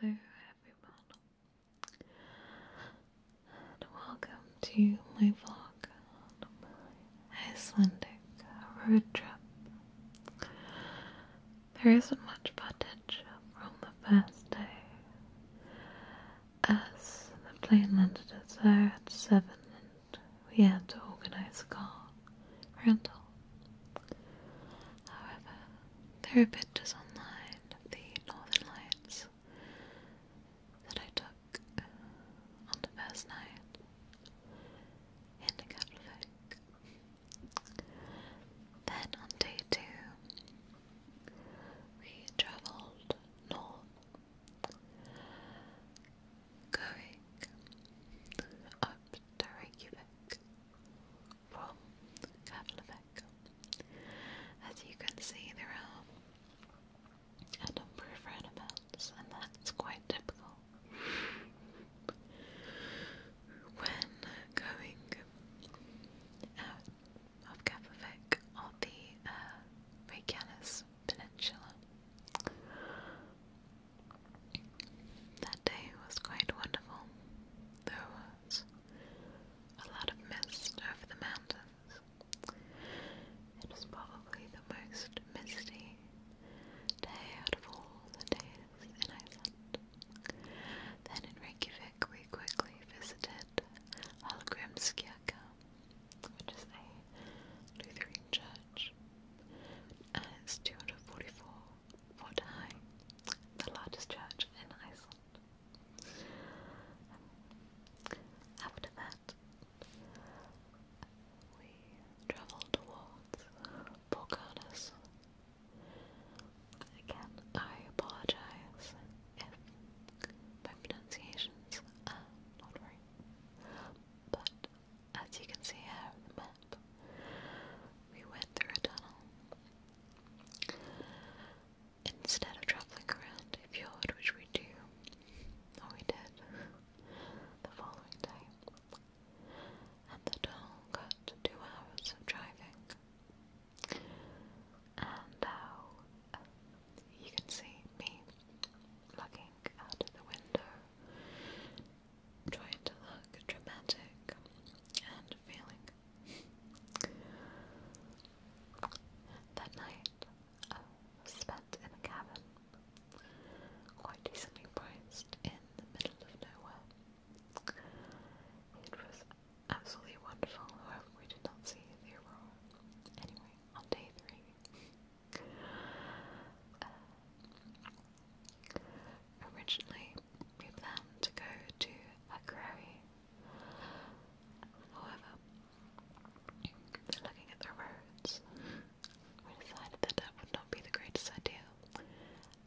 Hello everyone and welcome to my vlog Icelandic road trip. There isn't much footage from the first day as the plane landed at 7 and we had to organise a car rental. However, there are pictures online of the northern lights that I took uh, on the first night in the Catholic. Then on day two, we travelled north, going up to Reykjavik from Keflavik. As you can see, there are a number of roundabouts, and that's quite typical. When going out of Keflavik on the uh, Peninsula, that day was quite wonderful. There was a lot of mist over the mountains. It was probably the most misty day out of all the days in Iceland. Then in Reykjavik, we quickly visited Hallgrimskirkja, which is a Lutheran church, and it's 244 Vordhei, the largest church in Iceland. after that, we travel towards Borgarnes. Again, I apologize if my pronunciations are not right, but as you can see here on the map, we went through a tunnel. Instead of traveling around a fjord, which we do, we did, the following day, and the tunnel got two hours of driving. And now you can see me looking out of the window trying to look dramatic and feeling. that night, spent in a cabin, quite decently priced in the middle of nowhere. It was absolutely wonderful, however, we did not see the Anyway, on day three, uh, originally, we planned to go to Akureyri. However, looking at the roads, we decided that that would not be the greatest idea,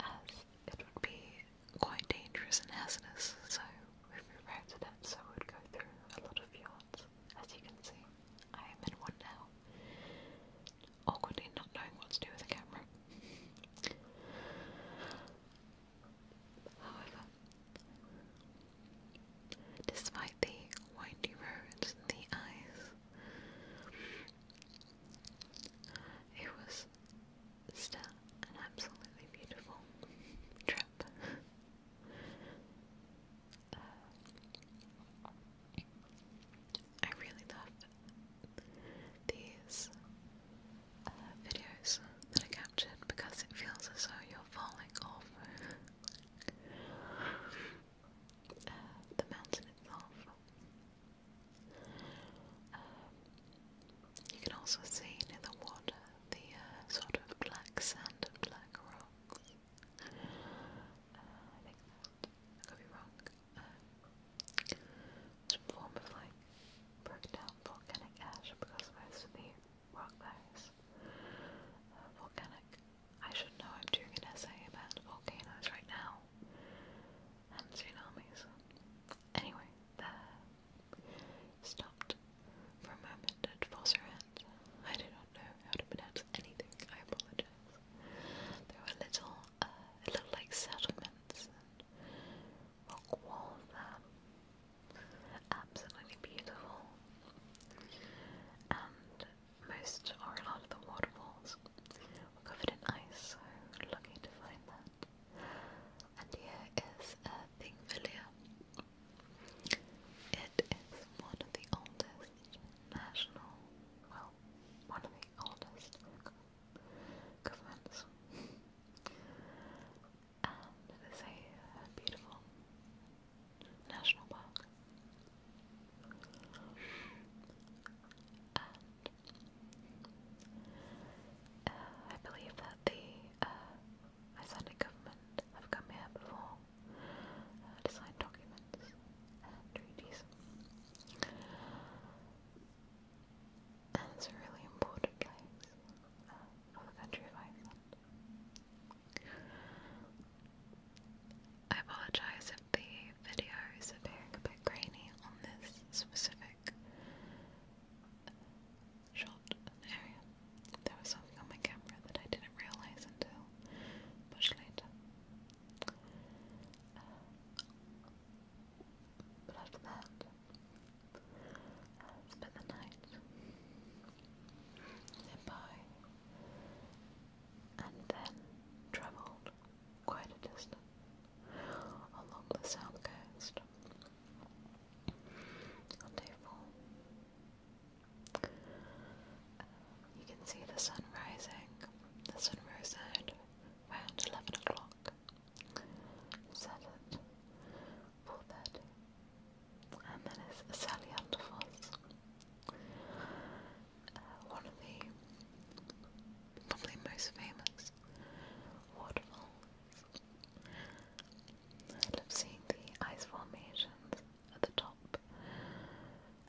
as it would be quite dangerous and hazardous. So we've rerouted it so it would go through a lot of fjords. As you can see, I am in one now awkwardly not knowing what to do with the camera. However, despite the windy roads and the eyes, it was still an absolutely beautiful trip. Um, I really love these uh, videos that I captured because it feels as though you're falling off uh, the mountain itself. Um, you can also see near the water the uh, sort of black sand and black rocks. Uh, I some form of like broken down volcanic ash because most of the rock there is uh, volcanic. I should know I'm doing an essay about volcanoes right now and tsunamis. Anyway, there stopped for a moment at Fosserind. I do not know how to pronounce anything, I apologize. There are little, uh, like settlements and rock walls there. Absolutely beautiful. And most are a lot of the waterfalls were covered in ice, so lucky to find that. And here is a It is one of the oldest national, well, one of the oldest governments. And it is a beautiful national park. And uh, I believe that the Icelandic uh, government I've come here before. to uh, sign documents and treaties. And it's a really important place uh, for the country of Iceland. I apologise if the video is appearing a bit grainy on this specific shot area. There was something on my camera that I didn't realise until now, much later. but uh, after that, uh, spent the night nearby and then travelled quite a distance along the south coast. On day you can see the sun rising. The sun rose at around 11 o'clock. Set at 4.30. And then it's Sally Underfoss. Uh, one of the probably most famous waterfalls. I love seeing the ice formations at the top.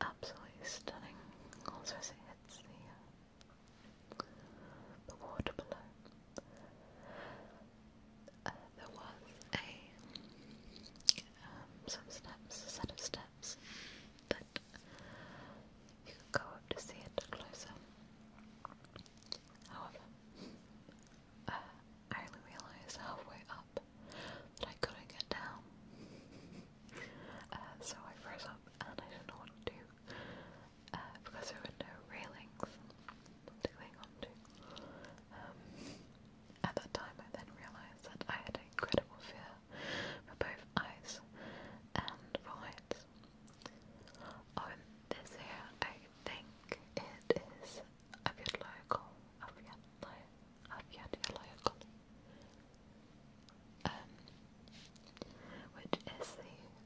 Absolutely stunning. Also, as it hits the, uh, the water below. Uh, there was a um, some steps, a set of steps that you could go up to see it closer. However, I only realised halfway up that I couldn't get down. Uh, so I froze up and I didn't know what to do uh, because there were no railings to cling onto. Um, at that time, I then realised that I had incredible fear for both eyes and heights. On this here, I think it is أبيض لا يقوم أبيض which is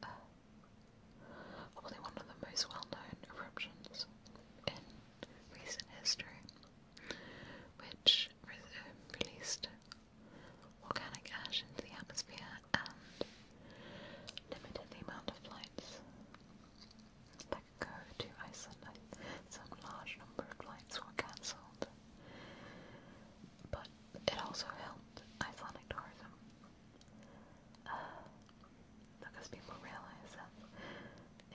the uh, probably one of the most well-known eruptions in recent history, which um, released volcanic ash into the atmosphere and limited the amount of flights that go to Iceland, some large number of flights were cancelled. But it also helped Icelandic tourism. Uh, because people realised that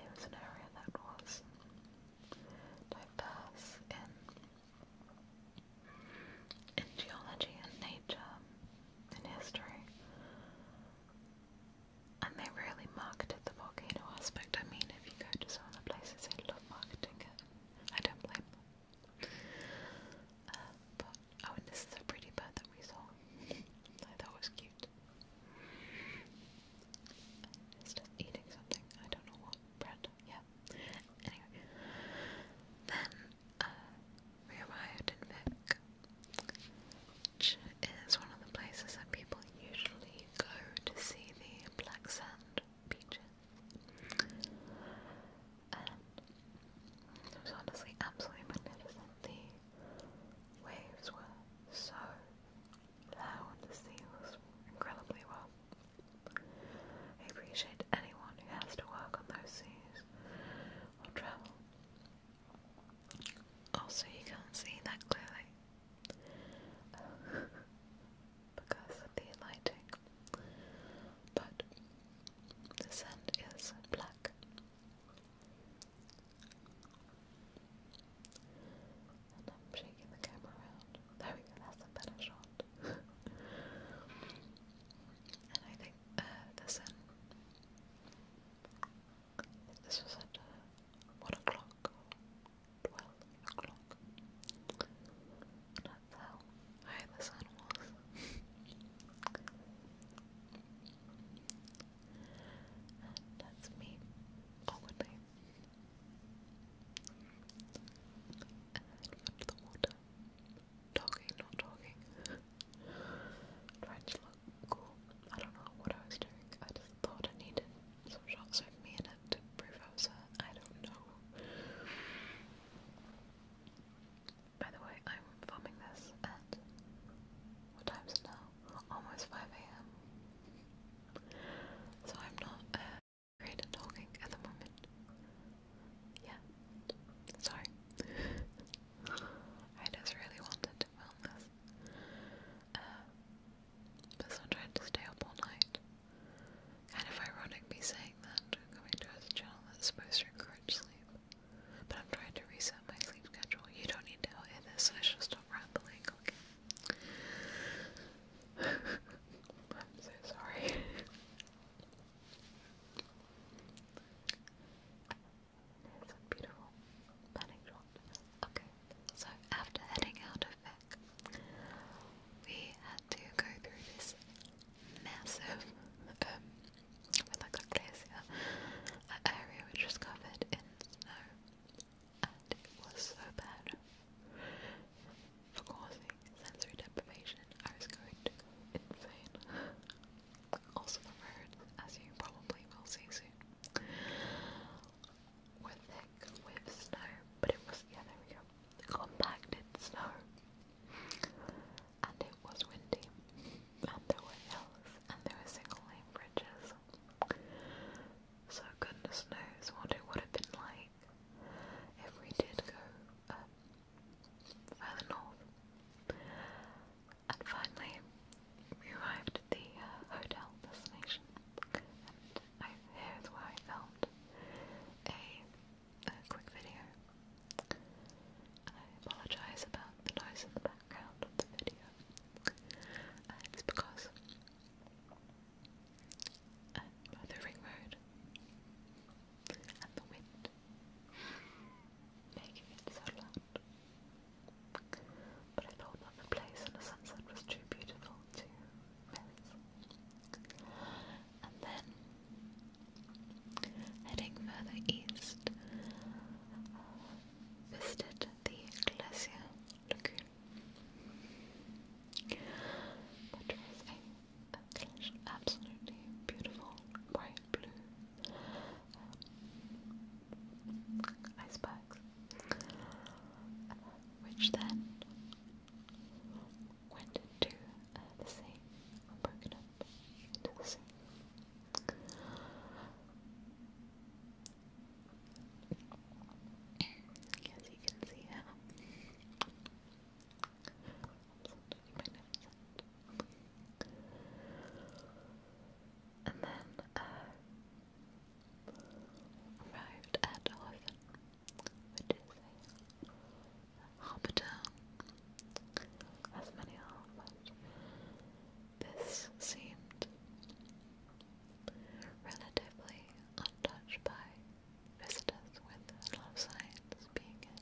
it was an area that was diverse in, in geology and nature, in history, and they really marketed the volcano aspect. I mean, if you go to some of the places, they love marketing it. I don't blame them. Uh, but, oh, and this is a pretty bird that we saw. I thought was cute. And it's eating something. I don't know what. Bread. Yeah. Anyway. Then, uh, we arrived in Vic which is one of the places that people usually go to see the black sand beaches. it was honestly absolutely magnificent. The waves were so loud, the sea was incredibly well. I appreciate anyone who has to work on those seas or travel also, you can't see that clearly because of the lighting, but the sand is black. And I'm shaking the camera around. There we go, that's a better shot. and I think uh, the sun this was at uh, 1 o'clock 12 o'clock. That's how high the and that's me, awkwardly. And the water. Talking, not talking. Tried to look cool. I don't know what I was doing. I just thought I needed some shots of me in it to prove I was I I don't know. By the way, I'm filming this at what time's is it now? Almost 5 a.m. So I'm not uh, great talking at the moment. Yeah. Sorry. I just really wanted to film this. Um, uh, because to stay up all night. Kind of ironic me saying that, coming to a channel that's supposed to encourage sleep. But I'm trying to reset my sleep schedule. You don't need to hear this, I should stop rambling, okay? I'm so sorry beautiful planning shot. Okay, so after heading out of Vic, we had to go through this massive, um, like a glacier, area which was covered in snow, and it was so bad. For causing sensory deprivation, I was going to go also preferred, as you probably will see soon, were thick with snow, but it was, yeah, there compacted snow. And it was windy, and there were hills, and there were single lane bridges. So goodness knows what it would have been like if we did go um, further north. And finally, we arrived at the uh, hotel destination, and here is where I filmed a, quick video. And I apologise about the noise in the background of the video. it's because uh, the ring road and the wind, making it so loud. But I thought that place and the sunset was too beautiful to miss. And then, heading further east, uh, visited the Glacier Lagoon, which was a absolutely beautiful, bright blue um, which then went into uh, the sea broken up into the sea. As you can see magnificent. And then arrived at Hoven, as many harbours. This seemed relatively untouched by visitors with a lot speak it.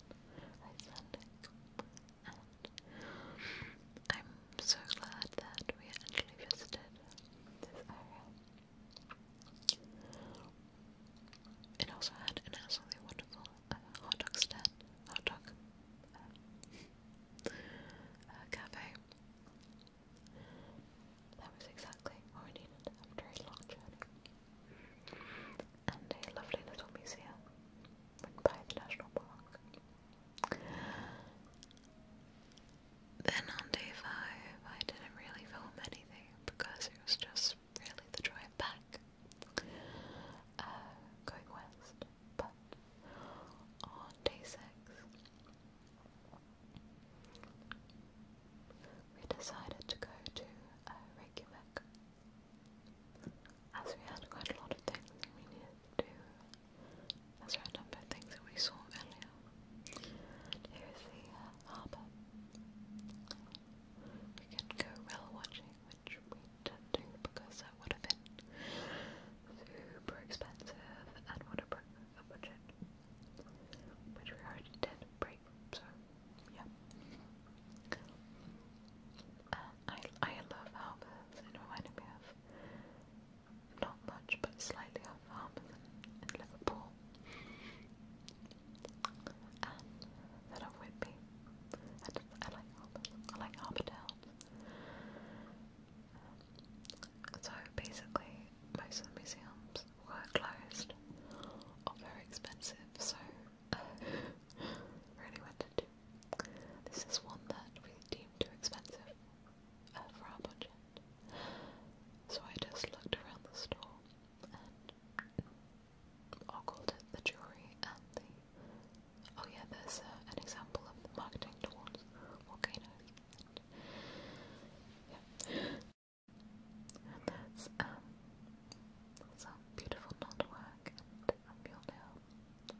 I said it. And I'm so glad that we actually visited this area. It also had an absolutely wonderful uh, hot dog stand, hot dog uh, uh, cafe. That was exactly what we needed after a long journey and a lovely little museum by the National Park. Then on day five, I didn't really film anything because it was just really the drive back, uh, going west. But on day six, we decided to go to uh, Reykjavik as we had quite a lot of things we needed to do, as were a number of things that we saw earlier. here's the uh, harbour. We can go whale watching, which we didn't do because that would have been super expensive and would have broken a budget, which we already did pre so yeah. Uh, I I love Harper's. It reminded me of not much, but slightly of Harper's in, Liverpool, and then of Whitby. I, just, I like Harper's. I like Harper um, so basically, most museums were closed or very expensive, so really went into. This is one that we deemed too expensive uh, for our budget, so I just looked around the store and ogled the jewelry and the. Oh yeah, there's uh, an example of marketing towards volcanoes. And that's, um, some beautiful knot and a mule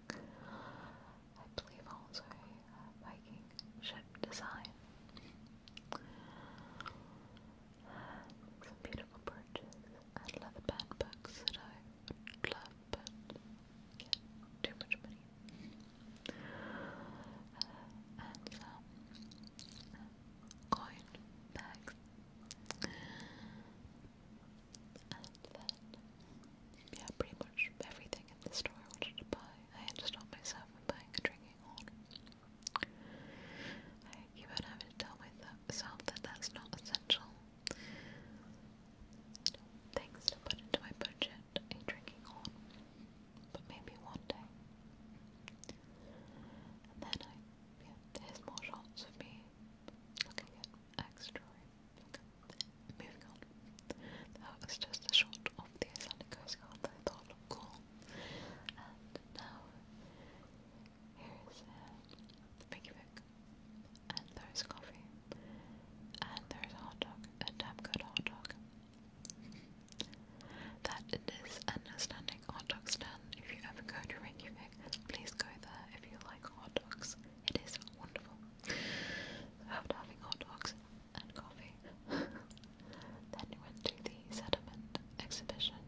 I believe also Viking uh, ship design. Some beautiful brooches and leather band books that I would love but get too much money. Uh, um, coin bags. And then, yeah, pretty much everything in the store I to buy, I had to stop myself from buying and drinking water. I keep on to tell myself that that's not essential. Things to put into my budget and drinking on but maybe one day. And then I, yeah, there's more shots of me looking at ex-jewelry. Okay, moving on. That was just a shot of the Icelandic Coast I thought cool. And now, here's a uh, Biggie Book, and there's coffee, and there's a hot dog, a damn good hot dog, that an Icelandic hot dog stand. If you ever go to Reykjavik, please go there if you like hot dogs. It is wonderful. After having hot dogs and coffee, then we went to the sediment exhibition,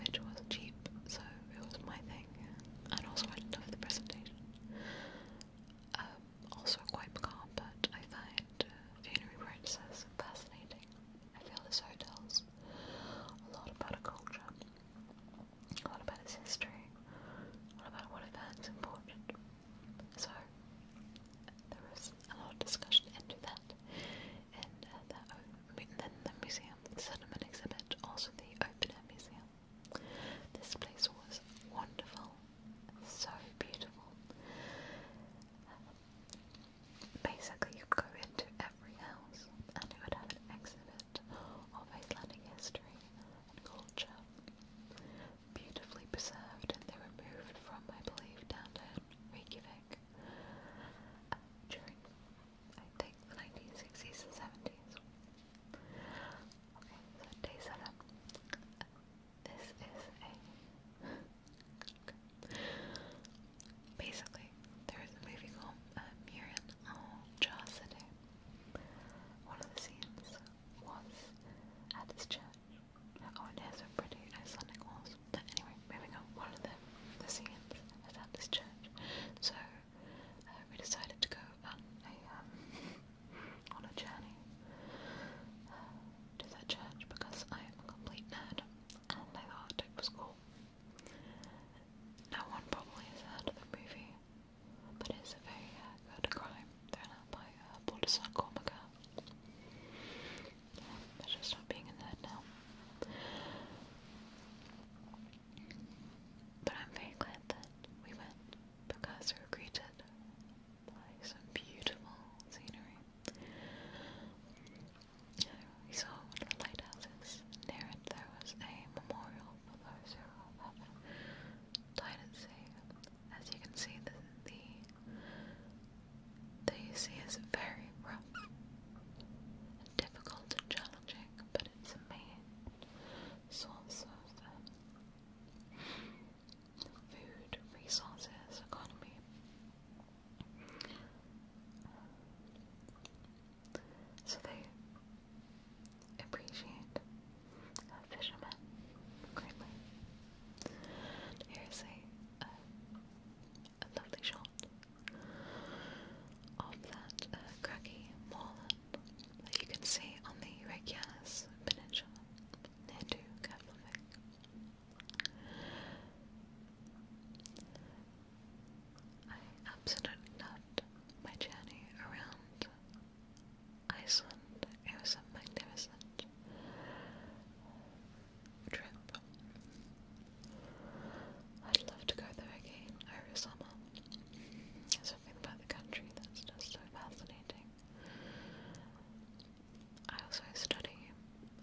which was cheap, so it was my thing, and also I loved the presentation. Um, also quite calm, but I find Funerary practices. Fascinating. I feel this show tells a lot about a culture, a lot about its history, a lot about what events important. So there was a lot of discussion into that and uh, then the museum, the settlement exhibit, also the open air museum. This place was wonderful, so beautiful. Basically, you go into every house and it would have an exhibit of Icelandic history and culture, beautifully preserved, they were moved from, I believe, downtown Reykjavik uh, during, I think, the 1960s and 70s. Okay, so day seven. This is a. Basically, there is a movie called uh, Murin One of the scenes was at this church. Oh, and there's a pretty Icelandic walls. But anyway, moving on. One of the, the scenes is at this church. So uh, we decided to go on a um, on a journey. Uh, to their church because I am a complete nerd and I thought it was cool. No one probably has the movie, but it's a very uh, good crime thriller by uh, Baldur's Cormaca. Yeah, I being a nerd now. But I'm very glad that we went because we were greeted some beautiful scenery. We saw one of the lighthouses. Near it there was a memorial for those who died at sea. As you can see, the, the, sea is very rough and difficult and challenging, but it's a main source of um, food, resources, economy. So they appreciate a greatly. Here's uh, a, lovely shot of that uh, craggy moorland that you can see on the Reykjanes Peninsula Nedu Keflavik. I absolutely loved my journey around Iceland. It was a magnificent trip. I'd love to go there again over summer. There's something about the country that's just so fascinating. I also study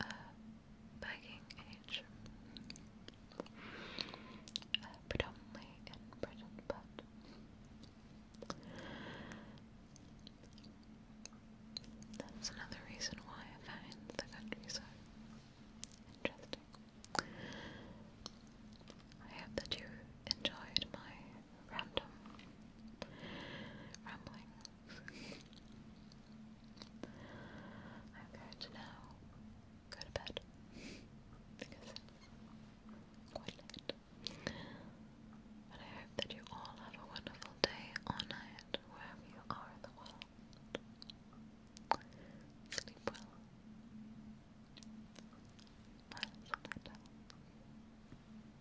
uh, age, uh, predominantly in Britain, but that's another reason why I find the country interesting. I hope that you enjoyed my random ramblings. I'm going to now go to bed because it's quite late. But I hope that you all have a wonderful day or night wherever you are in the world. Sleep well. Bye,